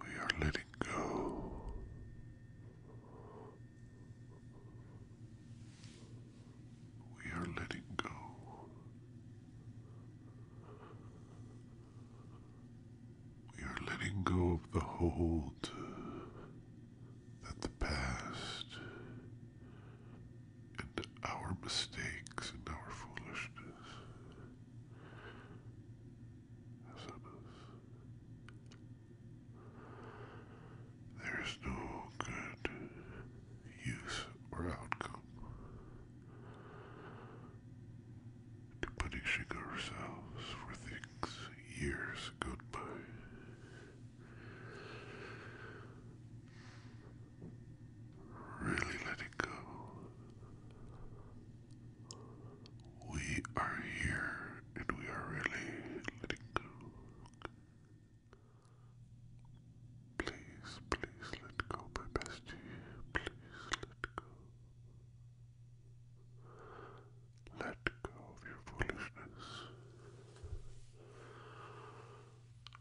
We are letting go. We are letting go. We are letting go of the hold that the past and our mistakes and our foolishness is There is no good use or outcome to punishing ourselves for things years gone by. Really let go. We are here and we are really letting go. Please, please let go, my bestie. Please let go. Let go of your foolishness.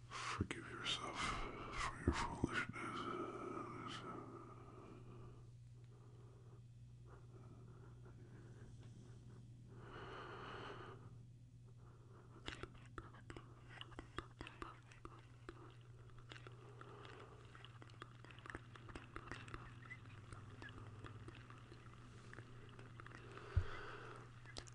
Forgive yourself for your foolishness.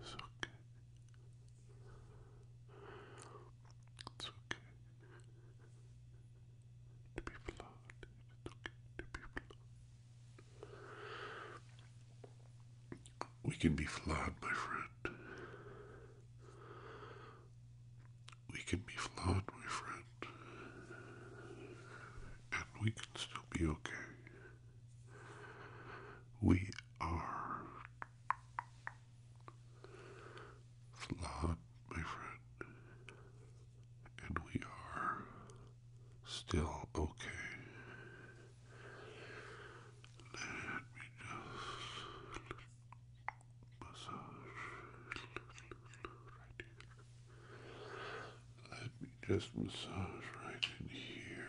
It's okay. It's okay to be flawed. It's okay to be flawed. We can be flawed, my friend. We can be flawed, my friend, and we can still be okay. We are flawed, my friend, and we are still okay massage right here. Let me just massage right in here.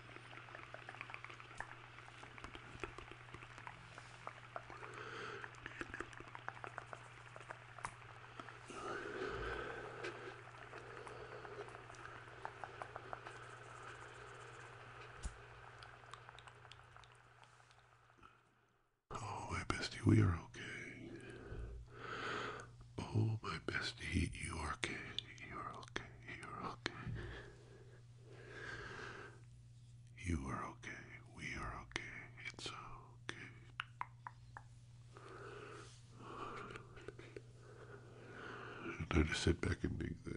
Oh, hey, bestie, we are okay. Oh, my bestie, you are okay. You're okay. You're okay. You are okay. We are okay. It's okay. Now just sit back and dig this.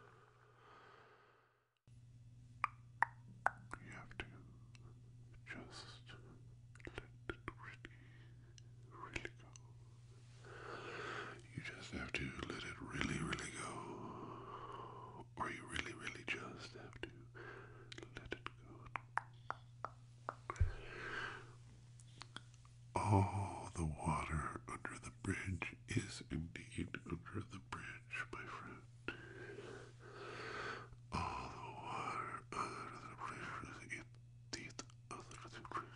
You have to just let it really, really go. You just have to let it really, really go. Or you really, really just have to let it go. All the water under the bridge is indeed under the bridge, my friend. All the water under the bridge is indeed under the bridge,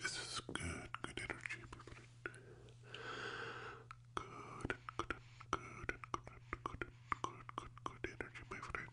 This is good, good energy, people. Good, good, good, good, good, good, good, good, good energy,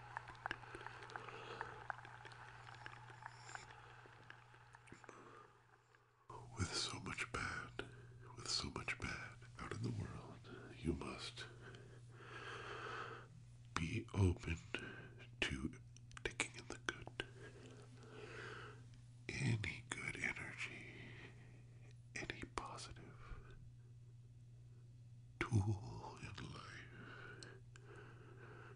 With so much bad, with so much bad out in the world, you must be open to taking in the good. Any good energy, any positive, tool in life.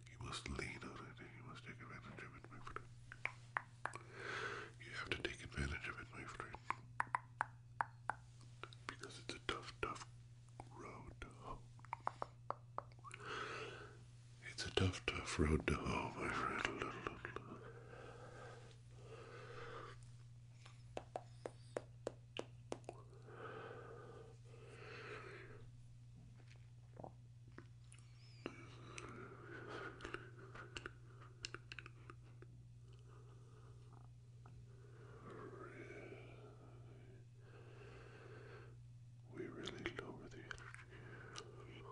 You must lean on it you must take advantage of it, my friend. You have to take advantage of it, my friend. Because it's a tough, tough road to home. It's a tough, tough road to home, my friend. We really lower the energy, really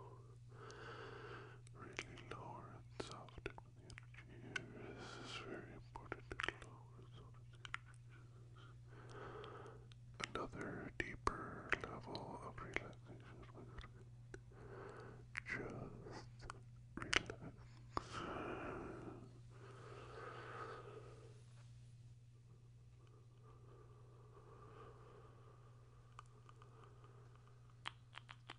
lower and soft the energy Another deeper level of relaxation. Just relax.